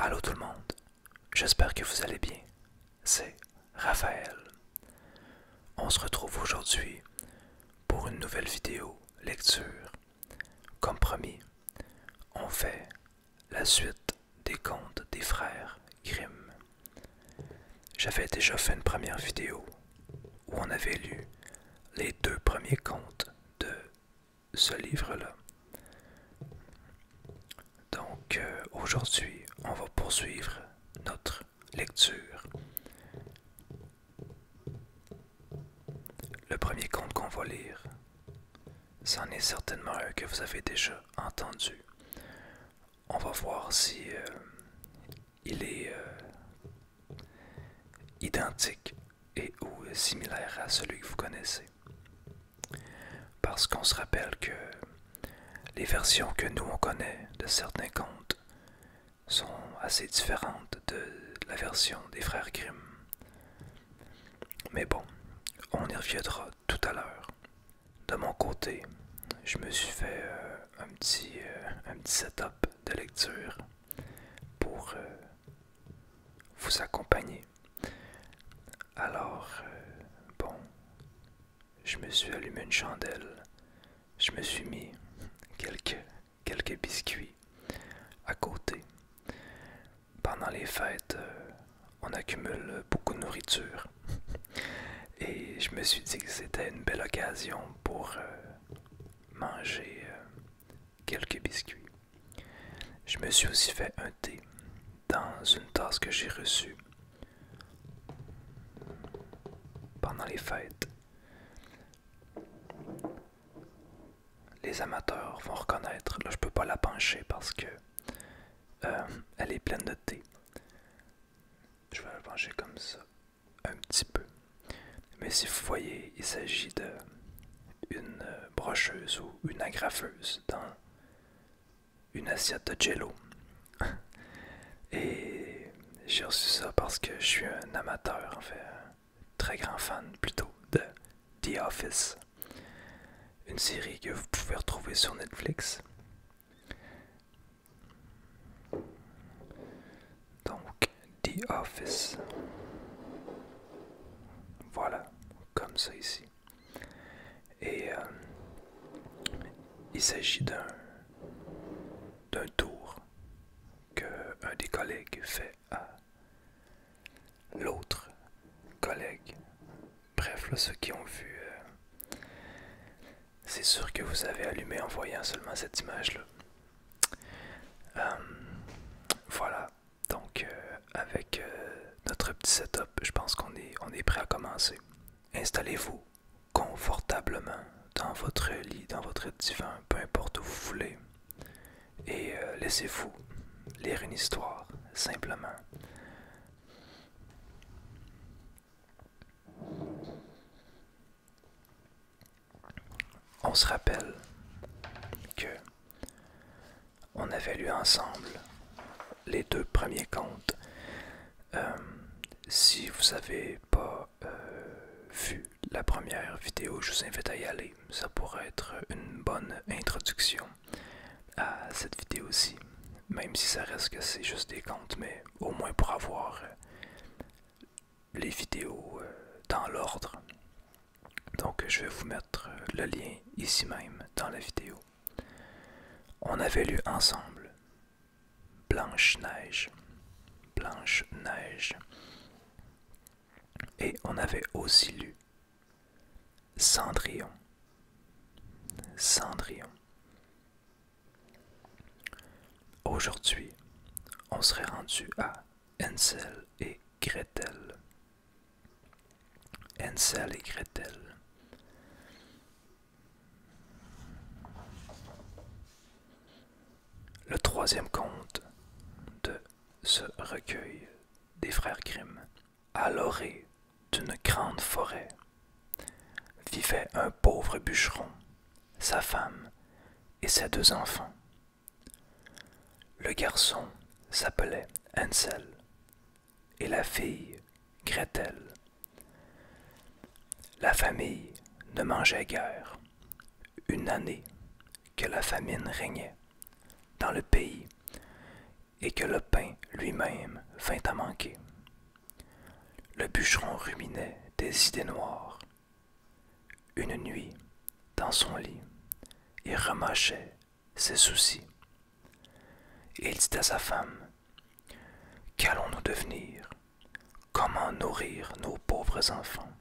Allô tout le monde, j'espère que vous allez bien. C'est Raphaël. On se retrouve aujourd'hui pour une nouvelle vidéo lecture. Comme promis, on fait la suite des contes des frères Grimm. J'avais déjà fait une première vidéo où on avait lu les deux premiers contes de ce livre-là. Donc euh, aujourd'hui, on va poursuivre notre lecture. Le premier conte qu'on va lire C'en est certainement un que vous avez déjà entendu. On va voir si euh, il est euh, identique et ou similaire à celui que vous connaissez. Parce qu'on se rappelle que les versions que nous on connaît de certains contes sont assez différentes de la version des frères Grimm. Mais bon, on y reviendra tout à l'heure. De mon côté, je me suis fait euh, euh, un, petit, setup de lecture pour euh, vous accompagner. Alors, bon, je me suis allumé une chandelle, je me suis mis quelques, biscuits à côté. Pendant les fêtes, on accumule beaucoup de nourriture. Et je me suis dit que c'était une belle occasion pour euh, manger euh, quelques biscuits. Je me suis aussi fait un thé dans une tasse que j'ai reçue pendant les fêtes. Les amateurs vont reconnaître, là je peux pas la pencher parce que euh, elle est pleine de thé. Je vais la manger comme ça, un petit peu. Mais si vous voyez, il s'agit d'une euh, brocheuse ou une agrafeuse dans une assiette de jello. Et j'ai reçu ça parce que je suis un amateur, en fait, très grand fan plutôt de The Office. Une série que vous pouvez retrouver sur Netflix. Donc, The Office. Voilà, comme ça ici. Et euh, il s'agit d'un tour que un des collègues fait à l'autre collègue Bref, ceux qui ont vu, euh, c'est sûr que vous avez allumé en voyant seulement cette image-là. Euh, voilà, donc euh, avec notre petit setup, je pense qu'on est, prêt à commencer. Installez-vous confortablement dans votre lit, dans votre divan, peu importe où vous voulez, et laissez-vous lire une histoire, simplement. On se rappelle que on avait lu ensemble les deux premiers comptes euh, si vous n'avez pas euh, vu la première vidéo, je vous invite à y aller. Ça pourrait être une bonne introduction à cette vidéo aussi, Même si ça reste que c'est juste des comptes, mais au moins pour avoir euh, les vidéos euh, dans l'ordre. Donc je vais vous mettre euh, le lien ici même dans la vidéo. On avait lu ensemble Blanche-Neige. Blanche-Neige. Et on avait aussi lu Cendrillon. Cendrillon. Aujourd'hui, on serait rendu à Ansel et Gretel. Ansel et Gretel. Le troisième conte de ce recueil des frères Grimm. À l'orée d'une grande forêt vivait un pauvre bûcheron, sa femme et ses deux enfants. Le garçon s'appelait Ansel et la fille Gretel. La famille ne mangeait guère. Une année que la famine régnait dans le pays et que le pain lui-même vint à manquer. Le bûcheron ruminait des idées noires. Une nuit, dans son lit, il remâchait ses soucis. Et il dit à sa femme, Qu'allons-nous devenir Comment nourrir nos pauvres enfants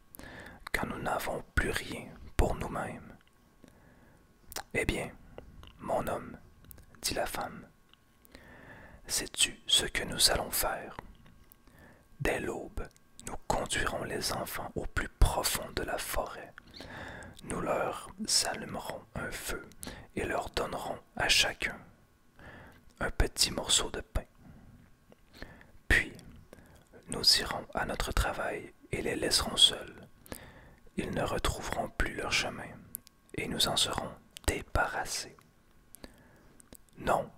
quand nous n'avons plus rien pour nous-mêmes eh bien, mon homme, dit la femme, sais-tu ce que nous allons faire Dès l'aube, nous conduirons les enfants au plus profond de la forêt. Nous leur allumerons un feu et leur donnerons à chacun un petit morceau de pain. Puis, nous irons à notre travail et les laisserons seuls ils ne retrouveront plus leur chemin, et nous en serons débarrassés. Non,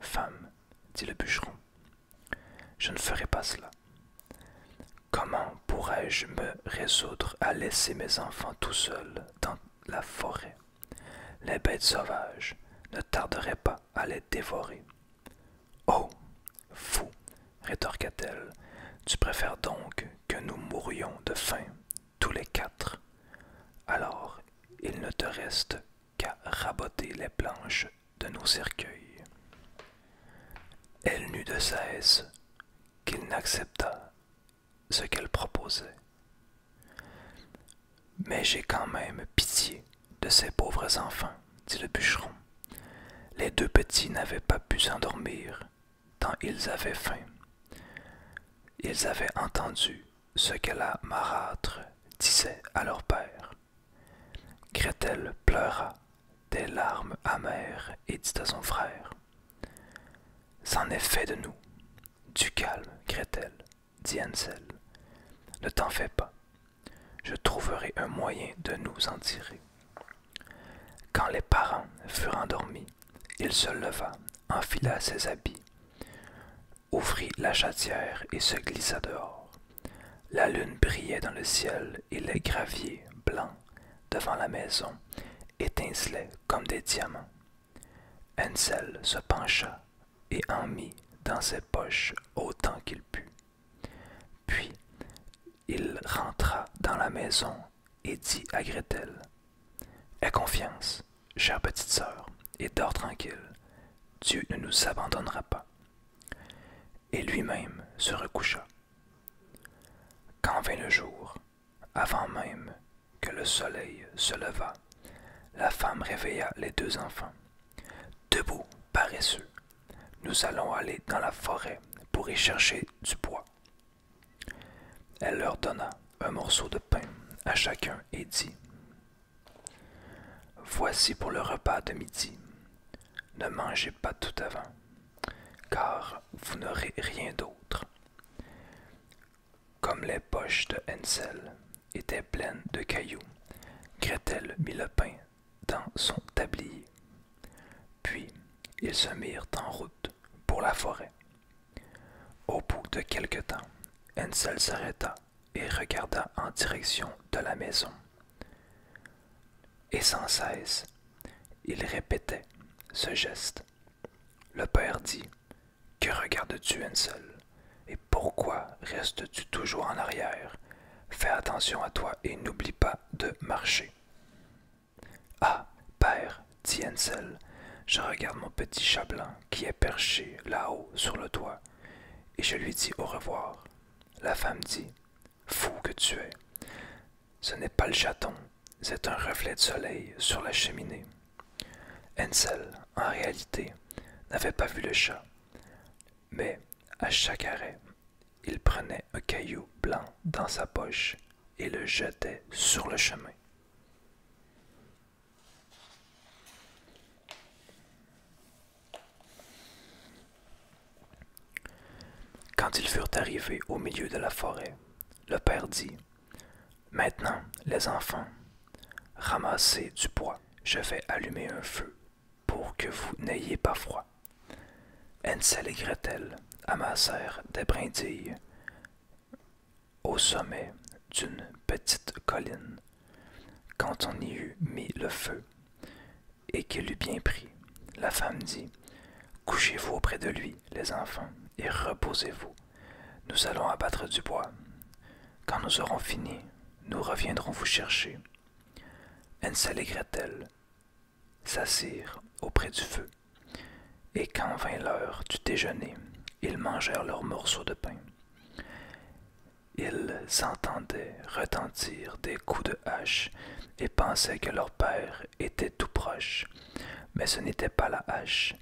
femme, dit le bûcheron, je ne ferai pas cela. Comment pourrais-je me résoudre à laisser mes enfants tout seuls dans la forêt Les bêtes sauvages ne tarderaient pas à les dévorer. Oh, fou rétorqua-t-elle. Tu préfères donc que nous mourions de faim, tous les quatre. Alors, il ne te reste qu'à raboter les planches de nos cercueils. Elle n'eut de cesse qu'il n'accepta ce qu'elle proposait. Mais j'ai quand même pitié de ces pauvres enfants, dit le bûcheron. Les deux petits n'avaient pas pu s'endormir tant ils avaient faim. Ils avaient entendu ce que la marâtre disait à leur père. Gretel pleura des larmes amères et dit à son frère C'en est fait de nous. Du calme, Gretel, dit Ansel. Ne t'en fais pas. Je trouverai un moyen de nous en tirer. Quand les parents furent endormis, il se leva, enfila ses habits, ouvrit la chatière et se glissa dehors. La lune brillait dans le ciel et les graviers blancs devant la maison étincelaient comme des diamants. Ansel se pencha et en mit dans ses poches autant qu'il put. Puis il rentra dans la maison et dit à Gretel Aie confiance, chère petite sœur, et dors tranquille. Dieu ne nous abandonnera pas. Et lui-même se recoucha. Quand vint le jour, avant même que le soleil se levât, la femme réveilla les deux enfants. Debout, paresseux, nous allons aller dans la forêt pour y chercher du bois elle leur donna un morceau de pain à chacun et dit Voici pour le repas de midi. Ne mangez pas tout avant, car vous n'aurez rien d'autre. Comme les poches de Hensel étaient pleines de cailloux, Gretel mit le pain dans son tablier puis ils se mirent en route pour la forêt. Au bout de quelque temps, Ansel s'arrêta et regarda en direction de la maison. Et sans cesse, il répétait ce geste. Le père dit Que regardes-tu, Ansel Et pourquoi restes-tu toujours en arrière Fais attention à toi et n'oublie pas de marcher. Ah, père, dit Hensel, je regarde mon petit chat blanc qui est perché là-haut sur le toit, et je lui dis au revoir. La femme dit Fou que tu es Ce n'est pas le chaton, c'est un reflet de soleil sur la cheminée. Hensel en réalité, n'avait pas vu le chat, mais à chaque arrêt, il prenait un caillou blanc dans sa poche et le jetait sur le chemin. Quand ils furent arrivés au milieu de la forêt, le père dit Maintenant, les enfants, ramassez du bois, je vais allumer un feu pour que vous n'ayez pas froid s'allégret-elle et Gretel amassèrent des brindilles au sommet d'une petite colline. Quand on y eut mis le feu et qu'il eut bien pris, la femme dit Couchez-vous auprès de lui, les enfants, et reposez-vous. Nous allons abattre du bois. Quand nous aurons fini, nous reviendrons vous chercher. elle s'assirent auprès du feu, et quand vint l'heure du déjeuner, ils mangèrent leurs morceaux de pain. Ils entendaient retentir des coups de hache et pensaient que leur père était tout proche, mais ce n'était pas la hache,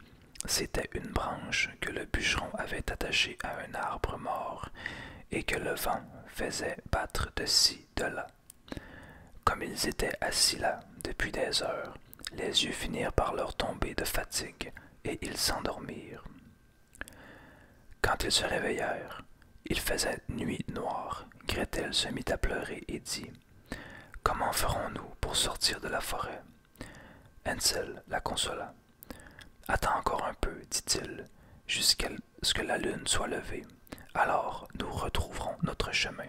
c'était une branche que le bûcheron avait attachée à un arbre mort et que le vent faisait battre de ci, de là. Comme ils étaient assis là depuis des heures, les yeux finirent par leur tomber de fatigue et ils s'endormirent. Quand ils se réveillèrent, il faisait nuit noire. Gretel se mit à pleurer et dit Comment ferons-nous pour sortir de la forêt Hansel la consola. Attends encore un peu, dit-il, jusqu'à ce que la lune soit levée, alors nous retrouverons notre chemin.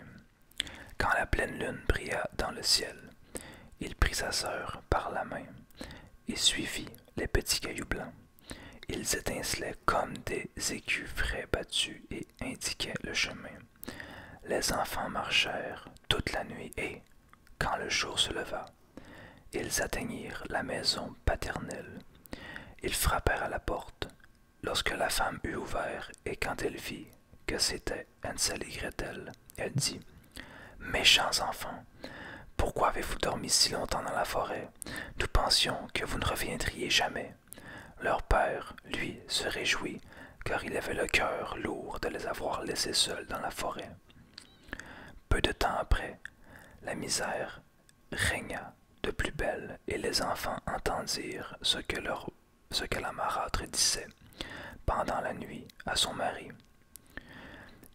Quand la pleine lune brilla dans le ciel, il prit sa sœur par la main et suivit les petits cailloux blancs. Ils étincelaient comme des écus frais battus et indiquaient le chemin. Les enfants marchèrent toute la nuit et, quand le jour se leva, ils atteignirent la maison paternelle. Ils frappèrent à la porte Lorsque la femme eut ouvert et quand elle vit que c'était Hansel et Gretel, elle dit Méchants enfants, pourquoi avez-vous dormi si longtemps dans la forêt Nous pensions que vous ne reviendriez jamais. Leur père, lui, se réjouit, car il avait le cœur lourd de les avoir laissés seuls dans la forêt. Peu de temps après, la misère régna de plus belle, et les enfants entendirent ce que, ce que la marâtre disait pendant la nuit à son mari.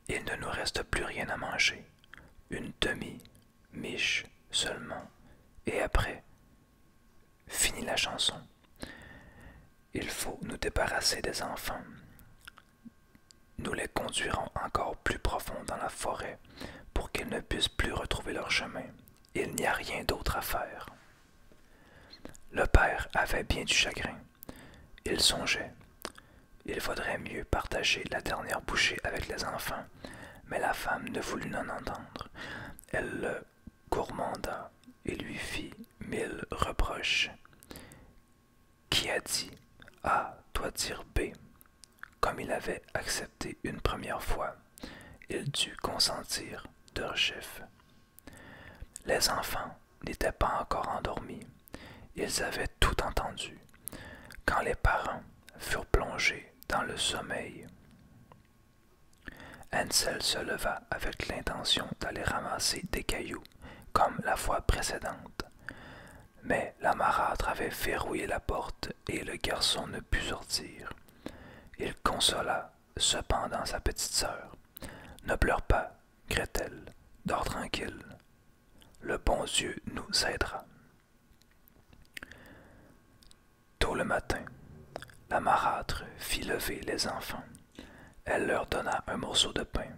Il ne nous reste plus rien à manger, une demi-miche seulement, et après, finit la chanson. Il faut nous débarrasser des enfants. Nous les conduirons encore plus profond dans la forêt pour qu'ils ne puissent plus retrouver leur chemin il n'y a rien d'autre à faire. Le père avait bien du chagrin. Il songeait. Il vaudrait mieux partager la dernière bouchée avec les enfants, mais la femme ne voulut n'en entendre. Elle le gourmanda et lui fit mille reproches. Qui a dit A toi, dire B, comme il avait accepté une première fois, il dut consentir de chiffres. Les enfants n'étaient pas encore endormis. Ils avaient tout entendu quand les parents furent plongés dans le sommeil. Hansel se leva avec l'intention d'aller ramasser des cailloux comme la fois précédente. Mais la marâtre avait verrouillé la porte et le garçon ne put sortir. Il consola cependant sa petite sœur. Ne pleure pas, criait-elle. dors tranquille. Le bon Dieu nous aidera. Tôt le matin, la marâtre fit lever les enfants. Elle leur donna un morceau de pain,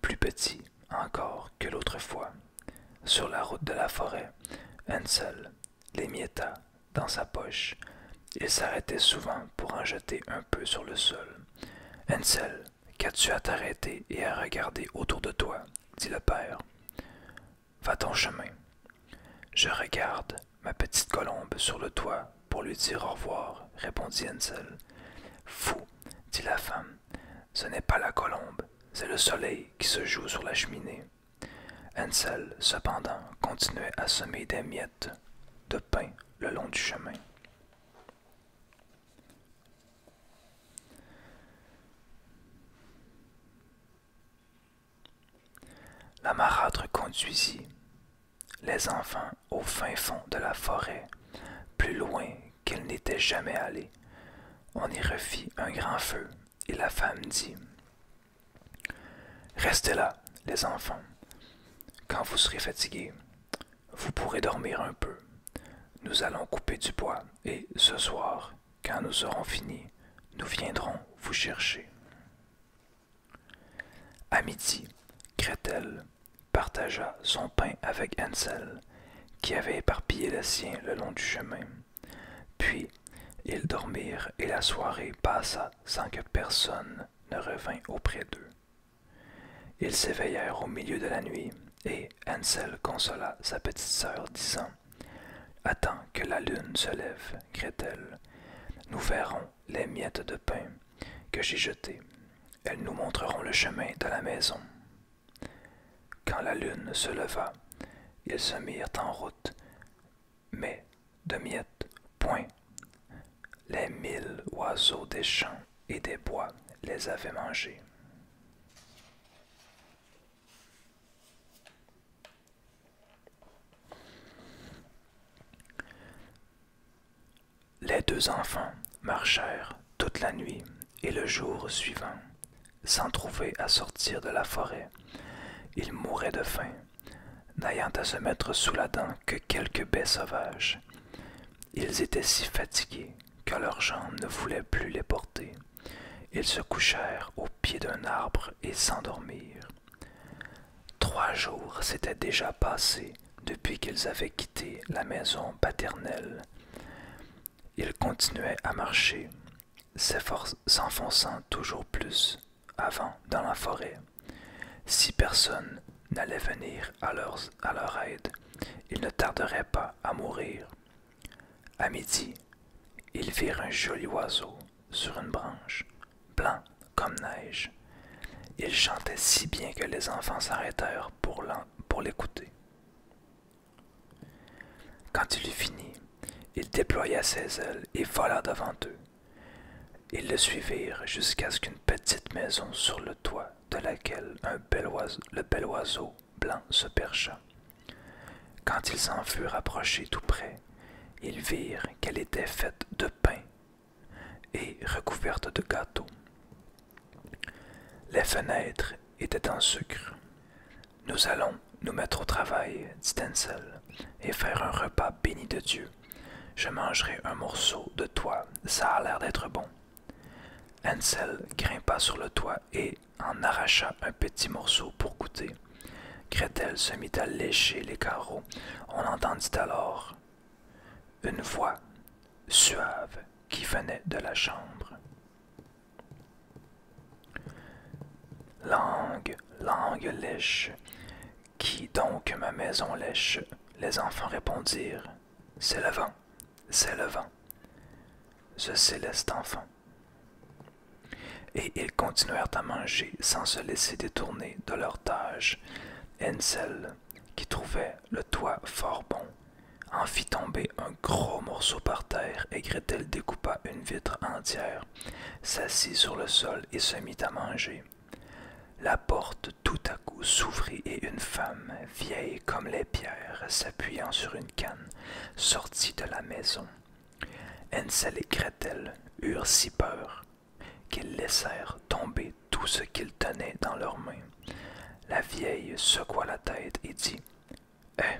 plus petit encore que l'autre fois. Sur la route de la forêt, Hansel les mietta dans sa poche. Il s'arrêtait souvent pour en jeter un peu sur le sol. Hensel qu'as-tu à t'arrêter et à regarder autour de toi dit le père. Va ton chemin. Je regarde ma petite colombe sur le toit pour lui dire au revoir, répondit Ansel. Fou, dit la femme, ce n'est pas la colombe, c'est le soleil qui se joue sur la cheminée. Ansel, cependant, continuait à semer des miettes de pain le long du chemin. La marâtre conduisit les enfants au fin fond de la forêt, plus loin qu'ils n'étaient jamais allés. On y refit un grand feu et la femme dit Restez là, les enfants. Quand vous serez fatigués, vous pourrez dormir un peu. Nous allons couper du bois et ce soir, quand nous aurons fini, nous viendrons vous chercher. À midi, Gretel partagea son pain avec Ansel, qui avait éparpillé le sien le long du chemin. Puis ils dormirent et la soirée passa sans que personne ne revînt auprès d'eux. Ils s'éveillèrent au milieu de la nuit et hansel consola sa petite sœur, disant Attends que la lune se lève, elle Nous verrons les miettes de pain que j'ai jetées. Elles nous montreront le chemin de la maison. Quand la lune se leva, ils se mirent en route, mais de miettes, point. Les mille oiseaux des champs et des bois les avaient mangés. Les deux enfants marchèrent toute la nuit et le jour suivant sans trouver à sortir de la forêt. ils mouraient de faim, n'ayant à se mettre sous la dent que quelques baies sauvages. Ils étaient si fatigués que leurs jambes ne voulaient plus les porter. Ils se couchèrent au pied d'un arbre et s'endormirent. Trois jours s'étaient déjà passés depuis qu'ils avaient quitté la maison paternelle. Il continuait à marcher, s'enfonçant toujours plus avant dans la forêt. Si personne n'allait venir à leur, à leur aide, ils ne tarderaient pas à mourir. À midi, ils virent un joli oiseau sur une branche, blanc comme neige. Il chantait si bien que les enfants s'arrêtèrent pour l'écouter. Quand il eut fini, il déploya ses ailes et vola devant eux. Ils le suivirent jusqu'à ce qu'une petite maison sur le toit de laquelle le bel oiseau blanc se percha. Quand ils s'en furent approchés tout près, ils virent qu'elle était faite de pain et recouverte de gâteaux. Les fenêtres étaient en sucre. Nous allons nous mettre au travail, dit Ansel, et faire un repas béni de Dieu. Je mangerai un morceau de toit, ça a l'air d'être bon. Ansel grimpa sur le toit et en arracha un petit morceau pour goûter. Gretel se mit à lécher les carreaux. On entendit alors une voix suave qui venait de la chambre. Langue, langue lèche. Qui donc ma maison lèche Les enfants répondirent. C'est le vent, c'est le vent. Ce céleste enfant. Et ils continuèrent à manger sans se laisser détourner de leur tâche. Ansel, qui trouvait le toit fort bon, en fit tomber un gros morceau par terre et Gretel découpa une vitre entière, s'assit sur le sol et se mit à manger. La porte tout à coup s'ouvrit et une femme, vieille comme les pierres, s'appuyant sur une canne, sortit de la maison. Hensel et Gretel eurent si peur qu'ils laissèrent tomber tout ce qu'ils tenaient dans leurs mains. La vieille secoua la tête et dit eh,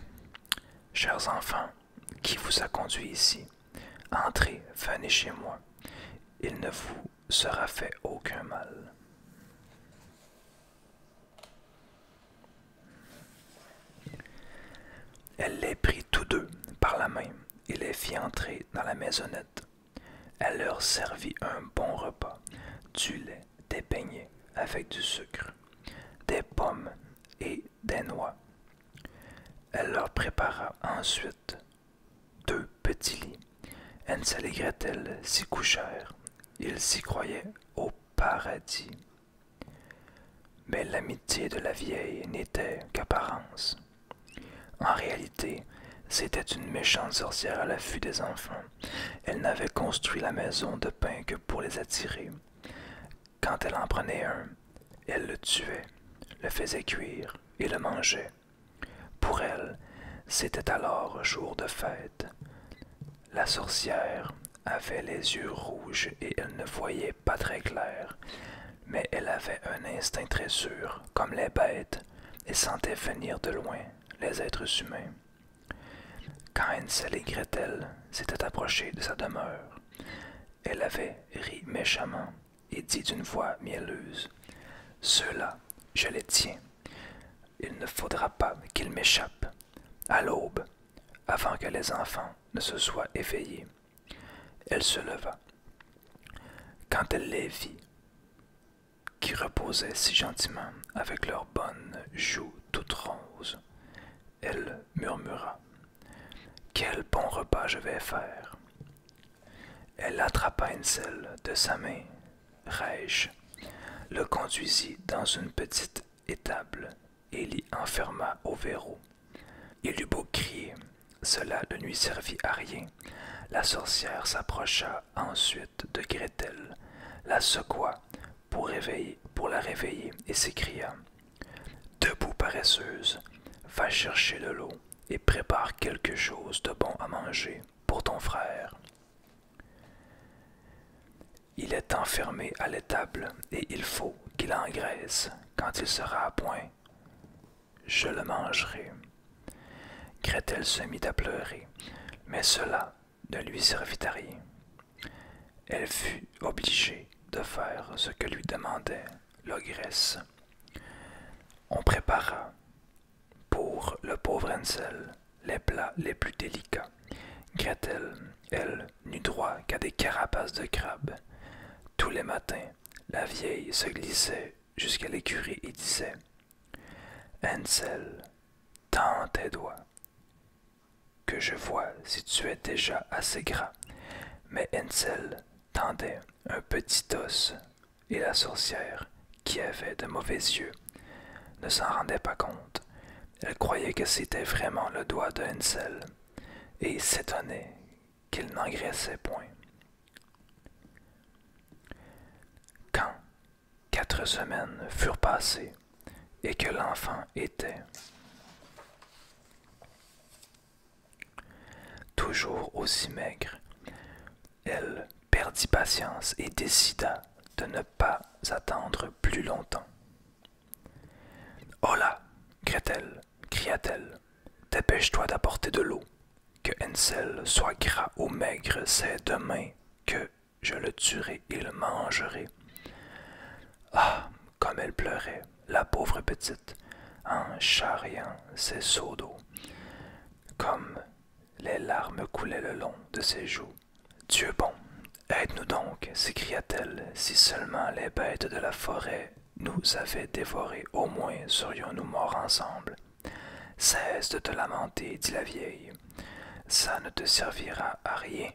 chers enfants, qui vous a conduit ici Entrez, venez chez moi. Il ne vous sera fait aucun mal. Elle les prit tous deux par la main et les fit entrer dans la maisonnette. Elle leur servit un bon repas, du lait, des beignets avec du sucre, des pommes et des noix. Elle leur prépara ensuite deux petits lits. Elle et elle s'y couchèrent. Ils s'y croyaient au paradis. Mais l'amitié de la vieille n'était qu'apparence. En réalité, c'était une méchante sorcière à l'affût des enfants. Elle n'avait construit la maison de pain que pour les attirer. Quand elle en prenait un, elle le tuait, le faisait cuire et le mangeait. Pour elle, c'était alors jour de fête. La sorcière avait les yeux rouges et elle ne voyait pas très clair, mais elle avait un instinct très sûr, comme les bêtes, et sentait venir de loin les êtres humains. Quand hensel et Gretel s'étaient approchés de sa demeure, elle avait ri méchamment et dit d'une voix mielleuse Ceux-là, je les tiens. Il ne faudra pas qu'ils m'échappent à l'aube, avant que les enfants ne se soient éveillés. Elle se leva. Quand elle les vit, qui reposaient si gentiment avec leurs bonnes joues toutes roses, elle murmura Quel bon repas je vais faire. Elle attrapa une selle de sa main, raige le conduisit dans une petite étable et l'y enferma au verrou. Il eut beau crier, cela ne lui servit à rien. La sorcière s'approcha ensuite de Gretel, la secoua, pour, réveiller, pour la réveiller et s'écria Debout, paresseuse, va chercher de l'eau et prépare quelque chose de bon à manger pour ton frère. Il est enfermé à l'étable et il faut qu'il engraisse. Quand il sera à point, je le mangerai. Gretel se mit à pleurer, mais cela de lui servit à rien. Elle fut obligée de faire ce que lui demandait l'ogresse. On prépara pour le pauvre ensel les plats les plus délicats. Gretel, elle, n'eut droit qu'à des carapaces de crabes Tous les matins, la vieille se glissait jusqu'à l'écurie et disait ensel tend tes doigts, que je vois si tu es déjà assez gras, Mais Ansel tendait un petit os, et la sorcière, qui avait de mauvais yeux, ne s'en rendait pas compte. Elle croyait que c'était vraiment le doigt de Hensel, et s'étonnait qu'il n'engraissait point. Quand quatre semaines furent passées, et que l'enfant était. Toujours aussi maigre, elle perdit patience et décida de ne pas attendre plus longtemps. Hola, cria-t-elle. cria-t-elle, dépêche-toi d'apporter de l'eau. Que Hansel soit gras ou maigre, c'est demain que je le tuerai et le mangerai. Ah, comme elle pleurait, la pauvre petite, en charriant ses seaux d'eau. Comme les larmes coulaient le long de ses joues. Dieu bon, aide-nous donc, s'écria-t-elle, si seulement les bêtes de la forêt nous avaient dévorés, au moins serions-nous morts ensemble. Cesse de te lamenter, dit la vieille. Ça ne te servira à rien.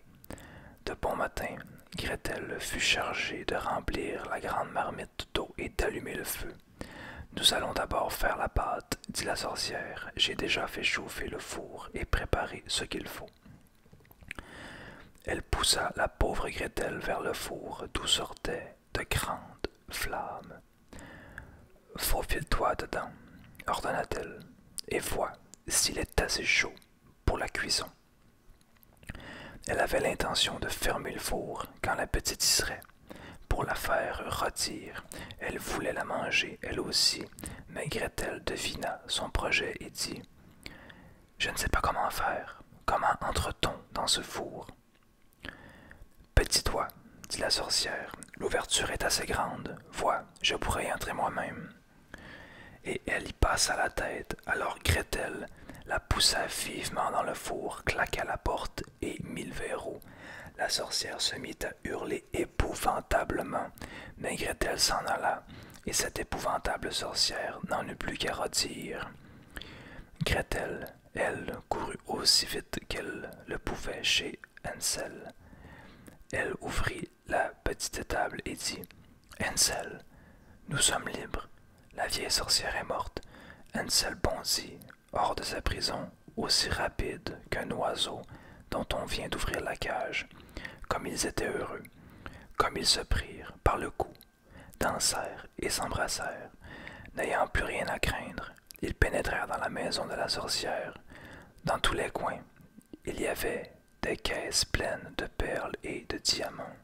De bon matin, Gretel fut chargée de remplir la grande marmite d'eau et d'allumer le feu. Nous allons d'abord faire la pâte, dit la sorcière. J'ai déjà fait chauffer le four et préparer ce qu'il faut. Elle poussa la pauvre Gretel vers le four d'où sortaient de grandes flammes. Faufile-toi dedans, ordonna-t-elle, et vois s'il est assez chaud pour la cuisson. Elle avait l'intention de fermer le four quand la petite y serait, pour la faire rôtir. Elle voulait la manger, elle aussi, mais Gretel devina son projet et dit Je ne sais pas comment faire. Comment entre-t-on dans ce four Petit « Pétis-toi, dit la sorcière, l'ouverture est assez grande. Vois, je pourrais y entrer moi-même. Et elle y passa la tête, alors Gretel la poussa vivement dans le four, claqua la porte et mit le verrou. La sorcière se mit à hurler épouvantablement, mais Gretel s'en alla, et cette épouvantable sorcière n'en eut plus qu'à redire. » Gretel, elle, courut aussi vite qu'elle le pouvait chez Hansel. Elle ouvrit la petite table et dit Ansel, nous sommes libres. La vieille sorcière est morte. Encel bondit hors de sa prison, aussi rapide qu'un oiseau dont on vient d'ouvrir la cage. Comme ils étaient heureux, comme ils se prirent par le cou, dansèrent et s'embrassèrent. N'ayant plus rien à craindre, ils pénétrèrent dans la maison de la sorcière. Dans tous les coins, il y avait des caisses pleines de perles et de diamants.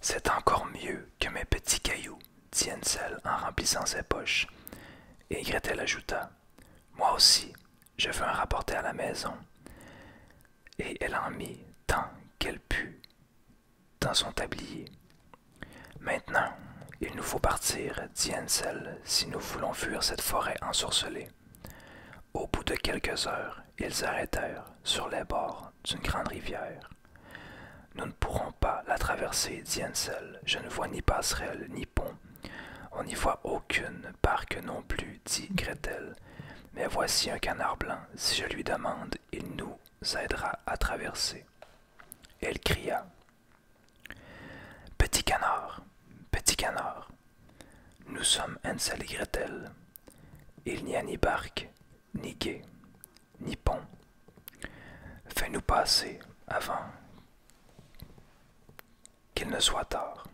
C'est encore mieux que mes petits cailloux, dit seuls en remplissant ses poches. Et Gretel ajouta Moi aussi, je veux en rapporter à la maison. Et elle en mit tant qu'elle put dans son tablier. Maintenant, il nous faut partir, dit si nous voulons fuir cette forêt ensorcelée. Au bout de quelques heures, ils arrêtèrent sur les bords d'une grande rivière. Nous ne pourrons pas la traverser, dit Je ne vois ni passerelle ni pont. On n'y voit aucune barque non plus, dit Gretel. Mais voici un canard blanc. Si je lui demande, il nous aidera à traverser. Elle cria Petit canard, petit canard, nous sommes Hansel et Gretel. Il n'y a ni barque, ni gué, ni pont. Fais-nous passer avant qu'il ne soit tard.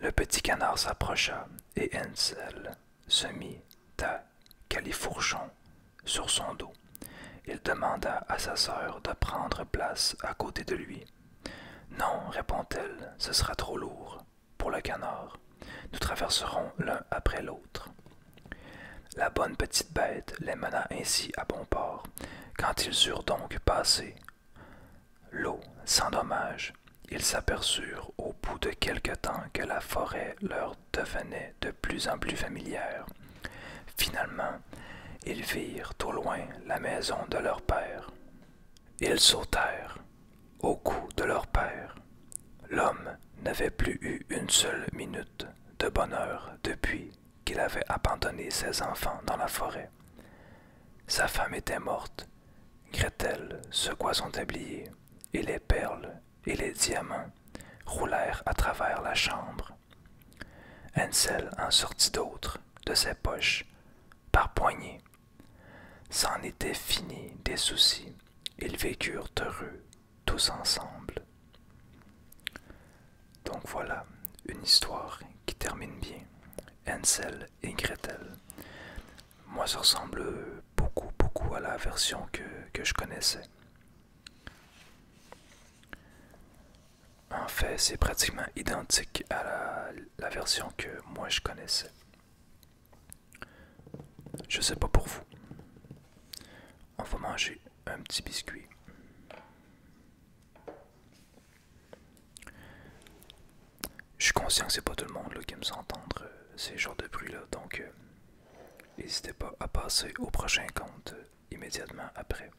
Le petit canard s'approcha et Hansel se mit à califourchon sur son dos. Il demanda à sa sœur de prendre place à côté de lui. Non, répond-elle, ce sera trop lourd pour le canard. Nous traverserons l'un après l'autre. La bonne petite bête les mena ainsi à bon port. Quand ils eurent donc passé l'eau sans dommage, ils s'aperçurent au bout de quelque temps que la forêt leur devenait de plus en plus familière. Finalement, ils virent au loin la maison de leur père. Ils sautèrent au cou de leur père. L'homme n'avait plus eu une seule minute de bonheur depuis qu'il avait abandonné ses enfants dans la forêt. Sa femme était morte. Gretel secoua son tablier, et les perles et les diamants roulèrent à travers la chambre. Ansel en sortit d'autres de ses poches par poignées. C'en était fini des soucis. Ils vécurent heureux tous ensemble. Donc voilà, une histoire qui termine bien. Ansel et Gretel. Moi, ça ressemble beaucoup, beaucoup à la version que je connaissais. En fait, c'est pratiquement identique à la, version que moi je connaissais. Je sais pas pour vous. On va manger un petit biscuit. Je suis conscient que c'est pas tout le monde qui aime s'entendre euh, ces genres de bruit là, donc euh, n'hésitez pas à passer au prochain compte euh, immédiatement après.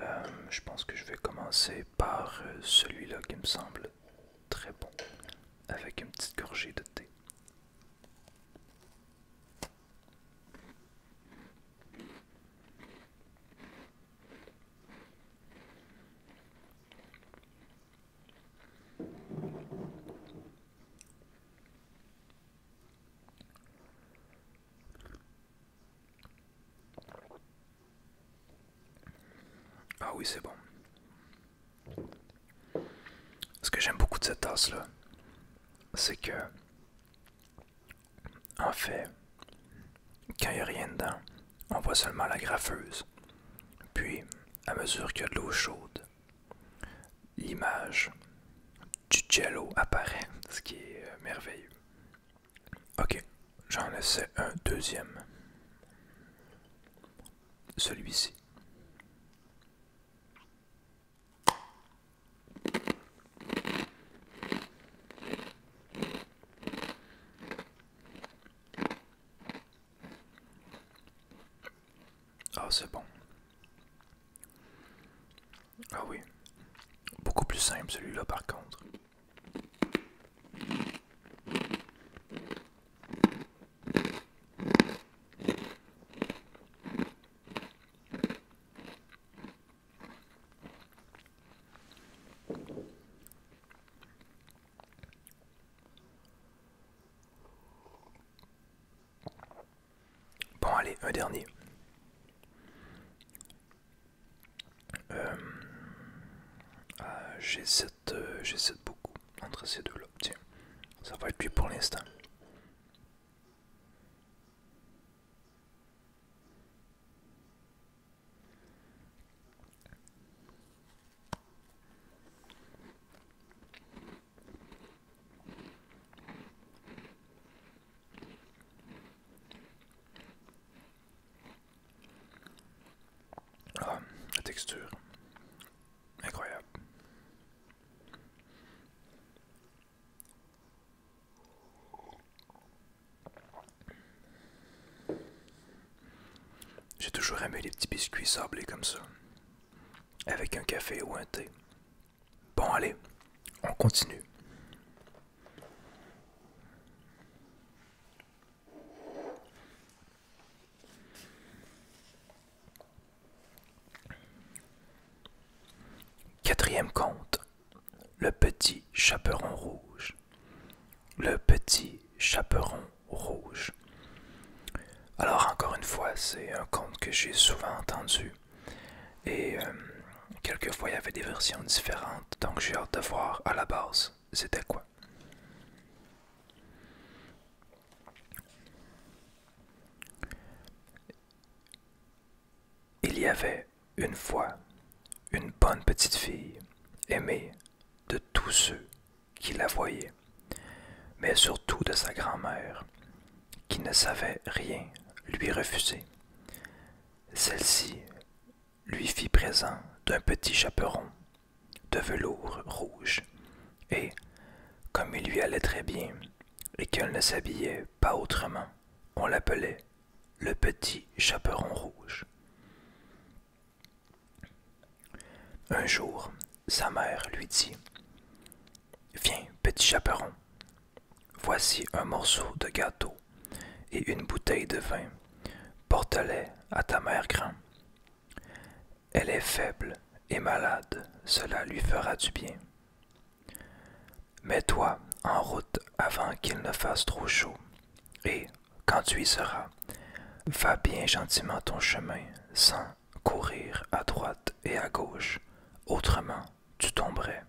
Euh, je pense que je vais commencer par euh, celui-là qui me semble très bon, avec une petite gorgée de thé. Ah oui, c'est bon. Ce que j'aime beaucoup de cette tasse-là, c'est que, en fait, quand il n'y a rien dedans, on voit seulement la graffeuse. Puis, à mesure qu'il y a de l'eau chaude, l'image du jello apparaît, ce qui est euh, merveilleux. Ok, j'en essaie un deuxième. Celui-ci. Ah, c'est bon. Ah oui. Beaucoup plus simple celui-là par contre. Bon, allez, un dernier. Euh, ah, J'essaie 7 euh, beaucoup entre ces deux-là. Tiens, ça va être lui pour l'instant. Ah, la texture. Incroyable. J'ai toujours aimé les petits biscuits sablés comme ça. Avec un café ou un thé. Bon, allez, on continue. Quatrième conte, le petit chaperon rouge. Le petit chaperon rouge. Alors encore une fois, c'est un conte que j'ai souvent entendu. Et quelques euh, quelquefois il y avait des versions différentes, donc j'ai hâte de voir à la base c'était quoi. Il y avait une fois une bonne petite fille aimée de tous ceux qui la voyaient mais surtout de sa grand-mère, qui ne savait rien lui refuser. Celle-ci lui fit présent d'un petit chaperon de velours rouge, et, comme il lui allait très bien, et qu'elle ne s'habillait pas autrement, on l'appelait le petit chaperon rouge. Un jour, sa mère lui dit Viens, petit chaperon, voici un morceau de gâteau et une bouteille de vin. Porte-les à ta mère grand. Elle est faible et malade, cela lui fera du bien. Mets-toi en route avant qu'il ne fasse trop chaud, et, quand tu y seras, va bien gentiment ton chemin, sans courir à droite et à gauche, autrement tu tomberais.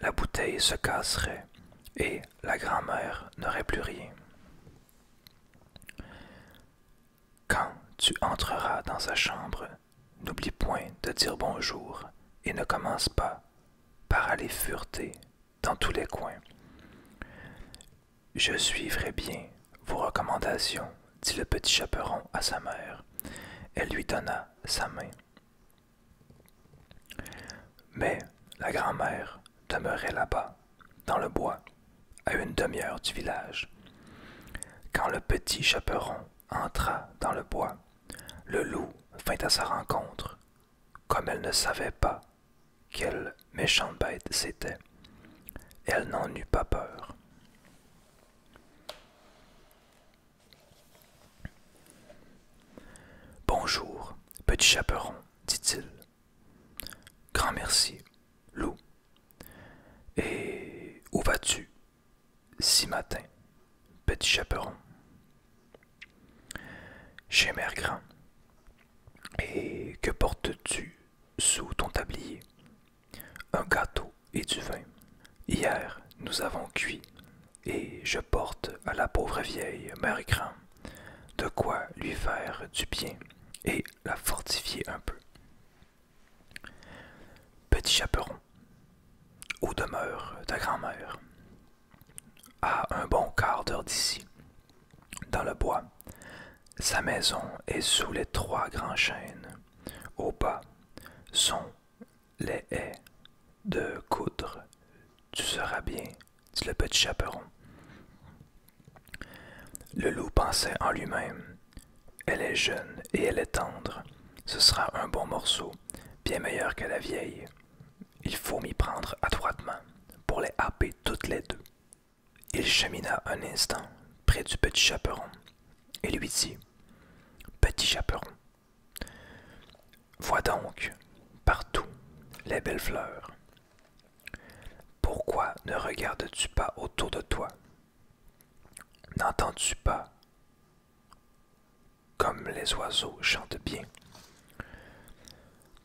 La bouteille se casserait et la grand-mère n'aurait plus rien. Quand tu entreras dans sa chambre, n'oublie point de dire bonjour et ne commence pas par aller fureter dans tous les coins. Je suivrai bien vos recommandations, dit le petit chaperon à sa mère. Elle lui donna sa main. Mais la grand-mère demeurait là-bas, dans le bois, à une demi-heure du village. Quand le petit chaperon entra dans le bois, le loup vint à sa rencontre, comme elle ne savait pas quelle méchante bête c'était. Elle n'en eut pas peur. Bonjour, petit chaperon, dit-il. Grand merci, loup. Et où vas-tu si matin, petit chaperon? Chez Mère Et que portes-tu sous ton tablier, un gâteau et du vin. Hier, nous avons cuit, et je porte à la pauvre vieille Mère Grand de quoi lui faire du bien et la fortifier un peu. Petit chaperon, où demeure ta grand-mère, à un bon quart d'heure d'ici, dans le bois, sa maison est sous les trois grands chênes. Au bas sont les haies de coudre. Tu seras bien, dit le petit chaperon. Le loup pensait en lui-même. Elle est jeune et elle est tendre. Ce sera un bon morceau, bien meilleur que la vieille. Il faut m'y prendre adroitement pour les happer toutes les deux. Il chemina un instant près du petit chaperon et lui dit Petit chaperon, vois donc partout les belles fleurs. Pourquoi ne regardes-tu pas autour de toi N'entends-tu pas comme les oiseaux chantent bien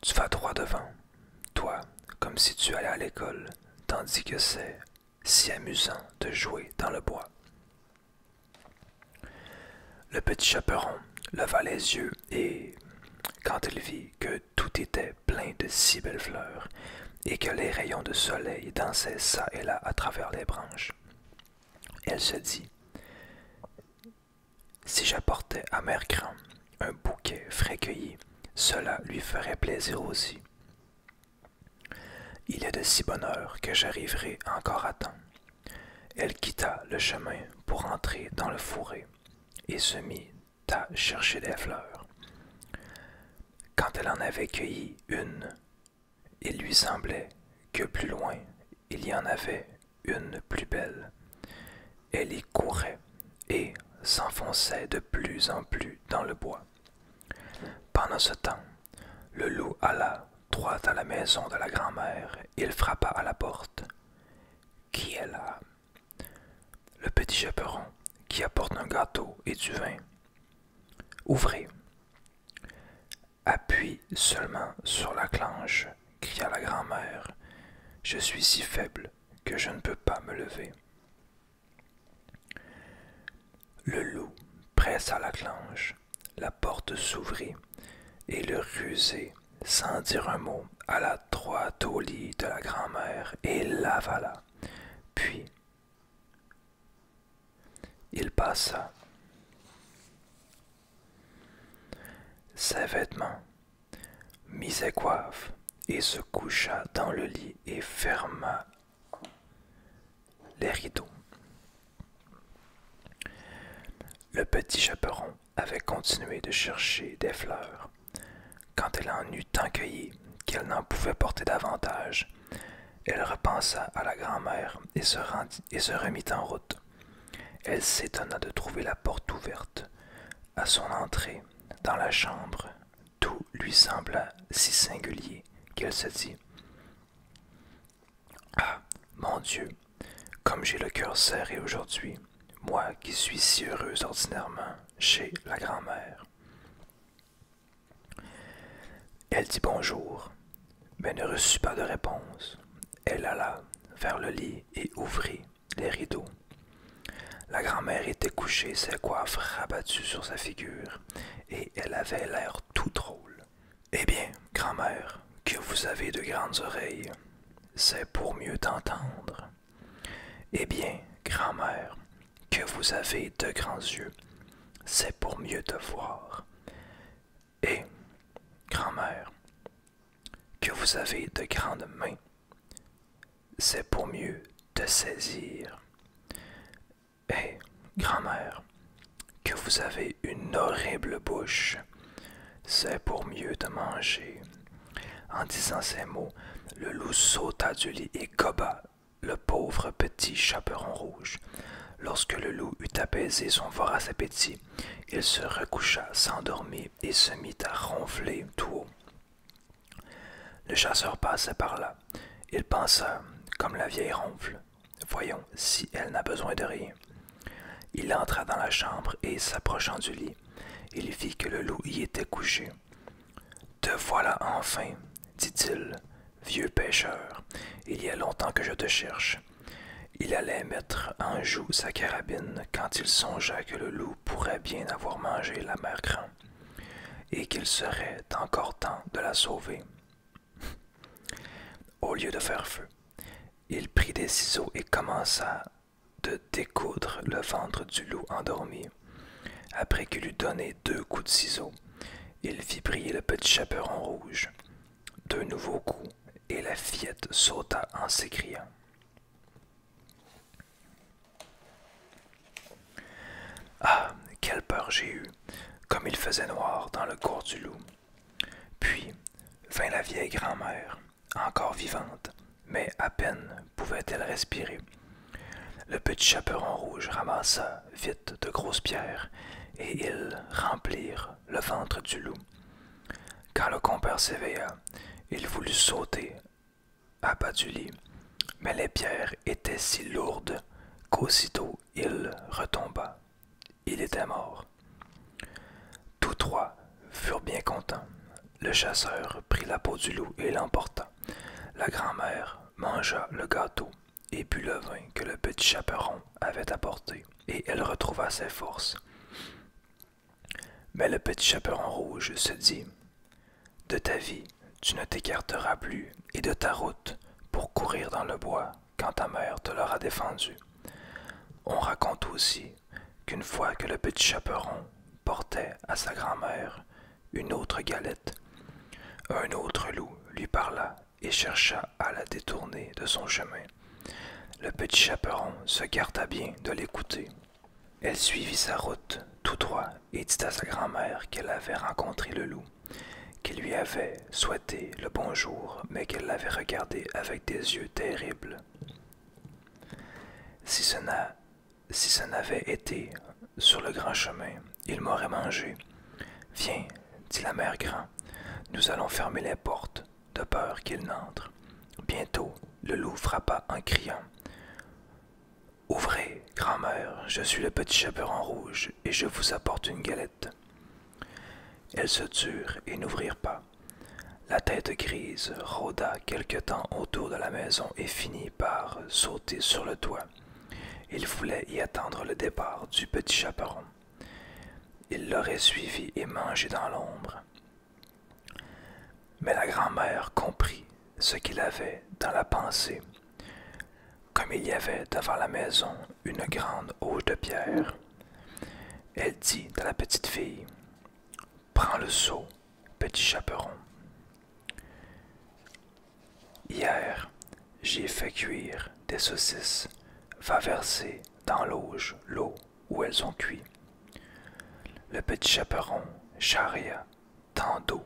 Tu vas droit devant, toi, comme si tu allais à l'école, tandis que c'est si amusant de jouer dans le bois. Le petit chaperon leva les yeux et, quand il vit que tout était plein de si belles fleurs et que les rayons de soleil dansaient çà et là à travers les branches, elle se dit Si j'apportais à Mère Grand un bouquet frais cueilli, cela lui ferait plaisir aussi. Il est de si bonne heure que j'arriverai encore à temps. Elle quitta le chemin pour entrer dans le fourré et se mit à chercher des fleurs. Quand elle en avait cueilli une, il lui semblait que plus loin il y en avait une plus belle. Elle y courait et s'enfonçait de plus en plus dans le bois. Pendant ce temps, le loup alla droit à la maison de la grand-mère. Il frappa à la porte. Qui est là Le petit chaperon qui apporte un gâteau et du vin. Ouvrez. Appuie seulement sur la clenche, cria la grand-mère. Je suis si faible que je ne peux pas me lever. Le loup pressa la clenche, la porte s'ouvrit, et le rusé, sans dire un mot, alla droit au lit de la grand-mère et l'avala. Puis, il passa. Ses vêtements, mis ses coiffes, et se coucha dans le lit et ferma les rideaux. Le petit chaperon avait continué de chercher des fleurs. Quand elle en eut tant cueilli qu'elle n'en pouvait porter davantage, elle repensa à la grand-mère et se remit en route. Elle s'étonna de trouver la porte ouverte. À son entrée, dans la chambre, tout lui sembla si singulier qu'elle se dit Ah, mon Dieu, comme j'ai le cœur serré aujourd'hui, moi qui suis si heureuse ordinairement chez la grand-mère. Elle dit bonjour, mais ne reçut pas de réponse. Elle alla vers le lit et ouvrit les rideaux. La grand-mère était couchée, ses coiffes rabattues sur sa figure, et elle avait l'air tout drôle. Eh bien, grand-mère, que vous avez de grandes oreilles, c'est pour mieux t'entendre. Eh bien, grand-mère, que vous avez de grands yeux, c'est pour mieux te voir. Et, grand-mère, que vous avez de grandes mains, c'est pour mieux te saisir. Hé, grand-mère, que vous avez une horrible bouche, c'est pour mieux te manger. En disant ces mots, le loup sauta du lit et goba le pauvre petit chaperon rouge. Lorsque le loup eut apaisé son vorace appétit, il se recoucha, s'endormit et se mit à ronfler tout haut. Le chasseur passait par là. Il pensa, comme la vieille ronfle, voyons si elle n'a besoin de rien. Il entra dans la chambre et, s'approchant du lit, il vit que le loup y était couché. Te voilà enfin, dit-il, vieux pêcheur, il y a longtemps que je te cherche. Il allait mettre en joue sa carabine quand il songea que le loup pourrait bien avoir mangé la mère et qu'il serait encore temps de la sauver. Au lieu de faire feu, il prit des ciseaux et commença de découdre le ventre du loup endormi. Après qu'il eut donné deux coups de ciseaux, il fit briller le petit chaperon rouge. Deux nouveaux coups, et la fillette sauta en s'écriant. Ah, quelle peur j'ai eue, comme il faisait noir dans le cours du loup. Puis vint la vieille grand-mère, encore vivante, mais à peine pouvait-elle respirer. Le petit chaperon rouge ramassa vite de grosses pierres, et ils remplirent le ventre du loup. Quand le compère s'éveilla, il voulut sauter bas du lit, mais les pierres étaient si lourdes qu'aussitôt il retomba. Il était mort. Tous trois furent bien contents. Le chasseur prit la peau du loup et l'emporta. La grand-mère mangea le gâteau et bu le vin que le petit chaperon avait apporté, et elle retrouva ses forces. Mais le petit chaperon rouge se dit de ta vie, tu ne t'écarteras plus, et de ta route, pour courir dans le bois, quand ta mère te l'aura défendue. »« On raconte aussi qu'une fois que le petit chaperon portait à sa grand-mère une autre galette, un autre loup lui parla et chercha à la détourner de son chemin. Le petit chaperon se garda bien de l'écouter. Elle suivit sa route tout droit et dit à sa grand-mère qu'elle avait rencontré le loup, qui lui avait souhaité le bonjour, mais qu'elle l'avait regardé avec des yeux terribles. Si ce si ce n'avait été sur le grand chemin, il m'aurait mangé. Viens, dit la mère grand, nous allons fermer les portes, de peur qu'il n'entre. Bientôt, le loup frappa en criant. Ouvrez, grand-mère, je suis le petit chaperon rouge et je vous apporte une galette. Elles se turent et n'ouvrirent pas. La tête grise rôda quelque temps autour de la maison et finit par sauter sur le toit. Il voulait y attendre le départ du petit chaperon. Il l'aurait suivi et mangé dans l'ombre. Mais la grand-mère comprit ce qu'il avait dans la pensée comme il y avait devant la maison une grande auge de pierre, elle dit à la petite fille Prends le seau, petit chaperon. Hier, j'ai fait cuire des saucisses. Va verser dans l'auge l'eau où elles ont cuit. Le petit chaperon charria tant d'eau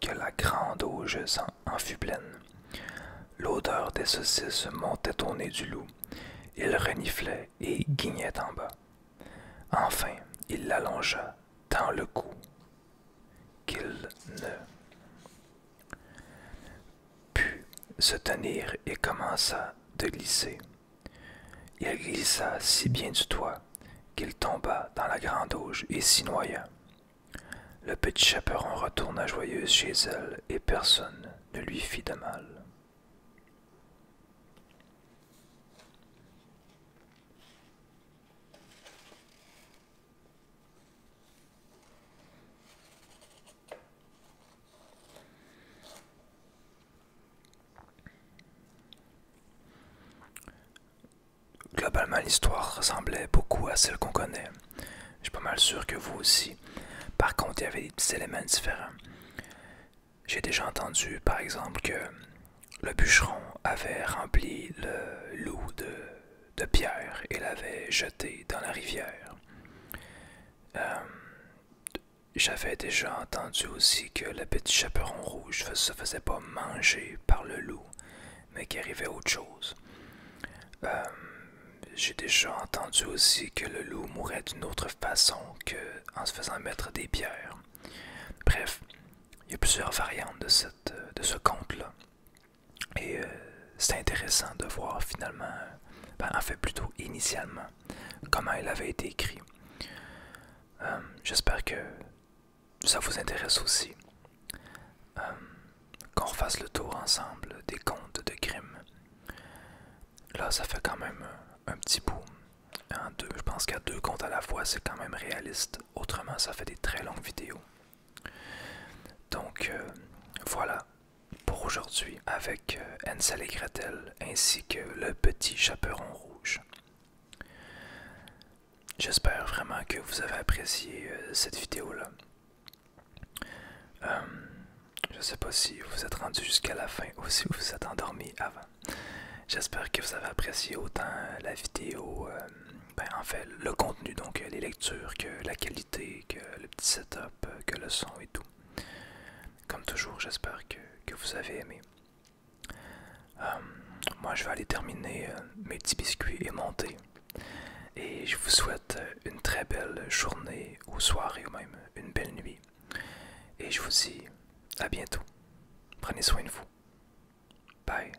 que la grande auge en fut pleine. L'odeur des saucisses montait au nez du loup. Il reniflait et guignait en bas. Enfin, il l'allongea dans le cou qu'il ne put se tenir et commença de glisser. Il glissa si bien du toit qu'il tomba dans la grain d'auge et s'y noya. Le petit chaperon retourna joyeuse chez elle et personne ne lui fit de mal. Globalement, l'histoire ressemblait beaucoup à celle qu'on connaît. Je suis pas mal sûr que vous aussi. Par contre, il y avait des petits éléments différents. J'ai déjà entendu, par exemple, que le bûcheron avait rempli le loup de, pierre et l'avait jeté dans la rivière. Euh, j'avais déjà entendu aussi que le petit chaperon rouge se faisait pas manger par le loup mais qui arrivait autre chose. Euh, j'ai déjà entendu aussi que le loup mourait d'une autre façon en se faisant mettre des pierres. Bref, il y a plusieurs variantes de, ce conte-là. Et euh, c'est intéressant de voir finalement, ben, en fait plutôt initialement, comment il avait été écrit. Euh, j'espère que ça vous intéresse aussi, euh, qu'on fasse le tour ensemble des contes de Grimm. Là, ça fait quand même euh, un petit bout. deux, je pense qu'à deux contes à la fois, c'est quand même réaliste. Autrement, ça fait des très longues vidéos. Donc, euh, voilà pour aujourd'hui avec Ansel et Gretel ainsi que le petit chaperon rouge. J'espère vraiment que vous avez apprécié euh, cette vidéo-là. Euh, je ne sais pas si vous êtes rendu jusqu'à la fin ou si vous vous êtes endormi avant. J'espère que vous avez apprécié autant la vidéo, euh, ben, en fait le contenu, donc les lectures, que la qualité, que le petit setup, que le son et tout. Comme toujours, j'espère que vous avez aimé. Euh, moi, je vais aller terminer euh, mes petits biscuits et monter. Et je vous souhaite euh, une très belle journée ou soirée ou même une belle nuit. Et je vous dis à bientôt. Prenez soin de vous. Bye.